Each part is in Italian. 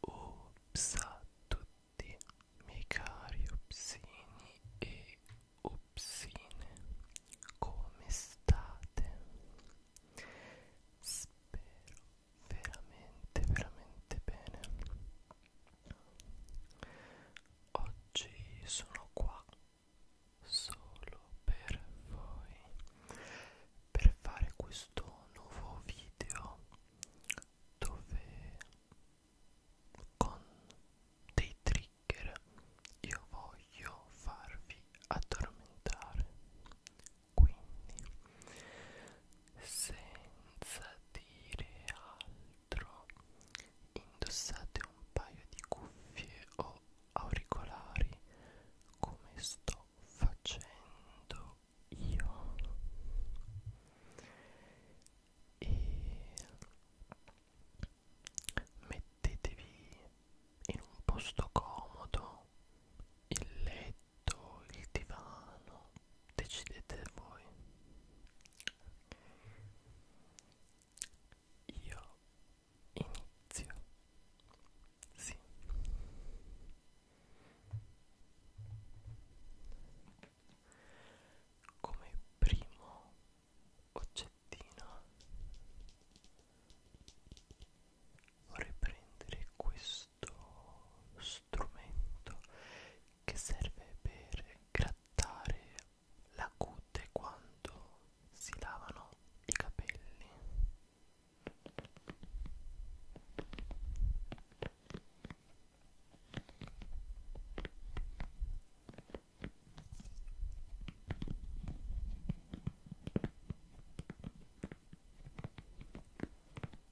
Ops a tutti miei cari opsini e opsine, come state? Spero veramente, veramente bene. Oggi sono qua solo per voi per fare questo nuovo video dove con dei trigger io voglio farvi addormentare quindi senza dire altro dentro indossate un paio di cuffie o auricolari come sto facendo io e mettetevi in un posto comodo il letto il divano decidete voi io inizio. Sì. Come primo oggettino vorrei prendere questo strumento che serve per grattare la cute quando si lavano i capelli.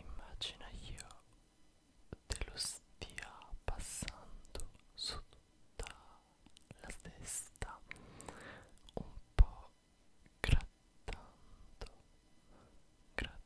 Immagina io te lo stia passando su la testa un po' grattando grattando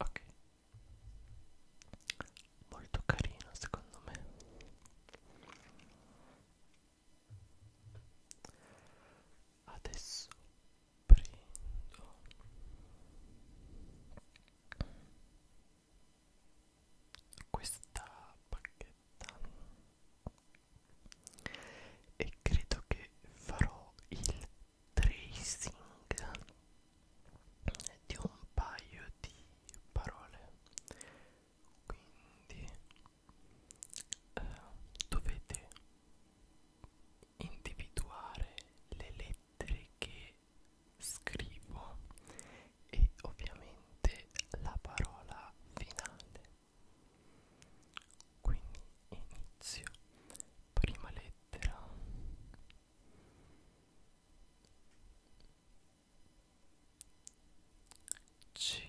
Ok, molto carino secondo me. Adesso prendo questa bacchetta e credo che farò il tracing di un paio di parole quindi eh, dovete individuare le lettere che scrivo e ovviamente la parola finale quindi inizio prima lettera C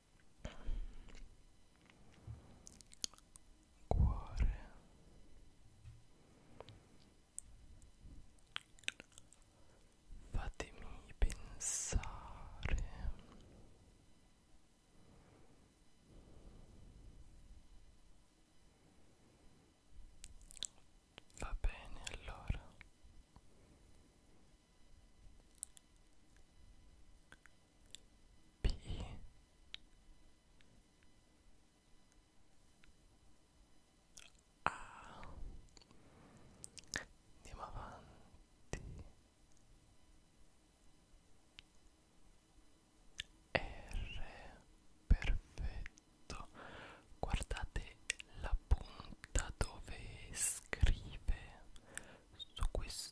cuore fatemi pensare va bene allora P A andiamo avanti R perfetto guardate la punta dove scrive su questo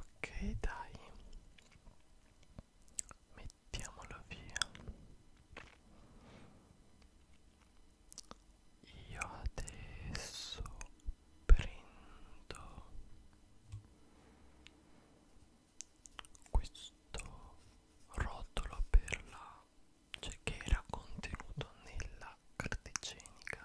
ok dai mettiamolo via io adesso prendo questo rotolo per la cioè che era contenuto nella carta igienica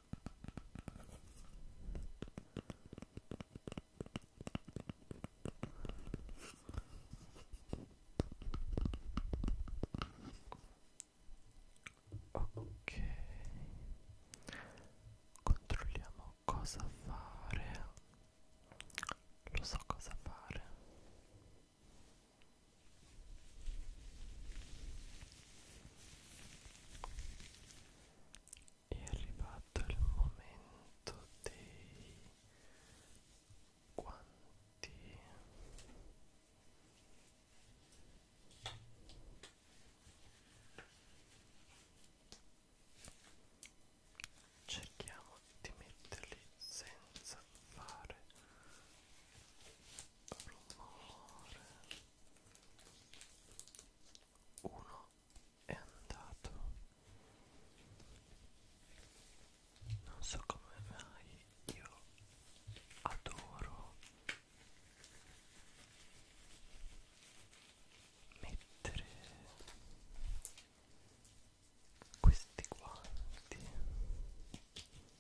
Ok, controlliamo cosa fare. Lo so cosa fare. È arrivato il momento dei guanti. Cerchiamo di metterli senza fare rumore uno è andato non so come mai io adoro mettere questi guanti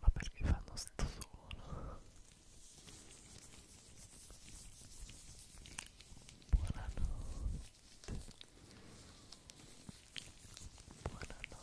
ma perché fanno sto suono? Buonanotte Buonanotte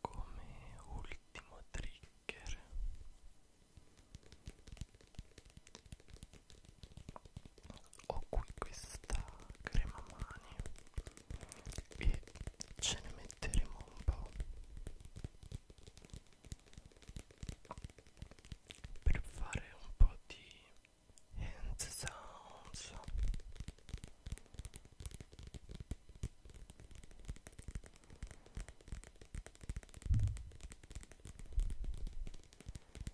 Come ultimo trigger ho qui questa crema mani e ce ne metteremo un po' per fare un po' di hand sounds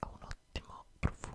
ha un ottimo profumo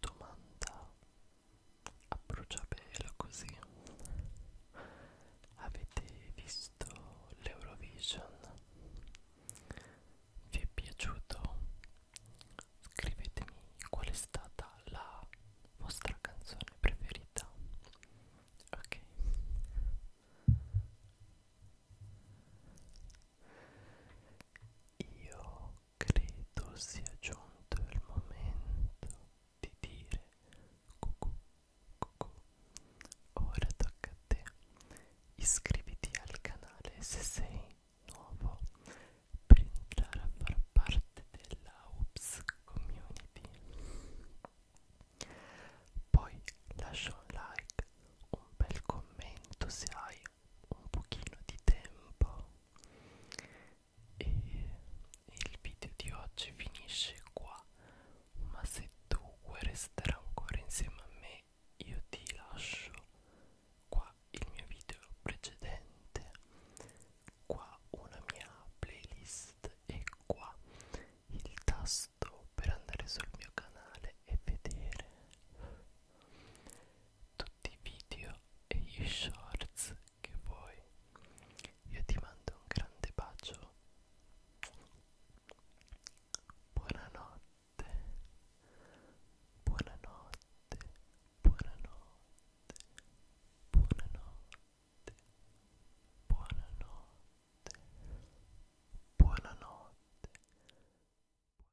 Domanda a bruciapelo così. Avete visto l'Eurovision? Vi è piaciuto? Scrivetemi qual è stata la vostra canzone preferita. Ok. Io credo sia giunto il momento di dire cucù, cucù. Ora tocca a te. Iscriviti al canale se sei nuovo per entrare a far parte della UPS community. Poi lascia un like, un bel commento se hai un pochino di tempo e il video di oggi finisce qua ma se tu vuoi restare ancora insieme a me io ti lascio qua il mio video precedente qua una mia playlist e qua il tasto per andare sul mio canale e vedere tutti i video e gli shorts che vuoi io ti mando un grande bacio buonanotte buonanotte buonanotte buonanotte buonanotte buonanotte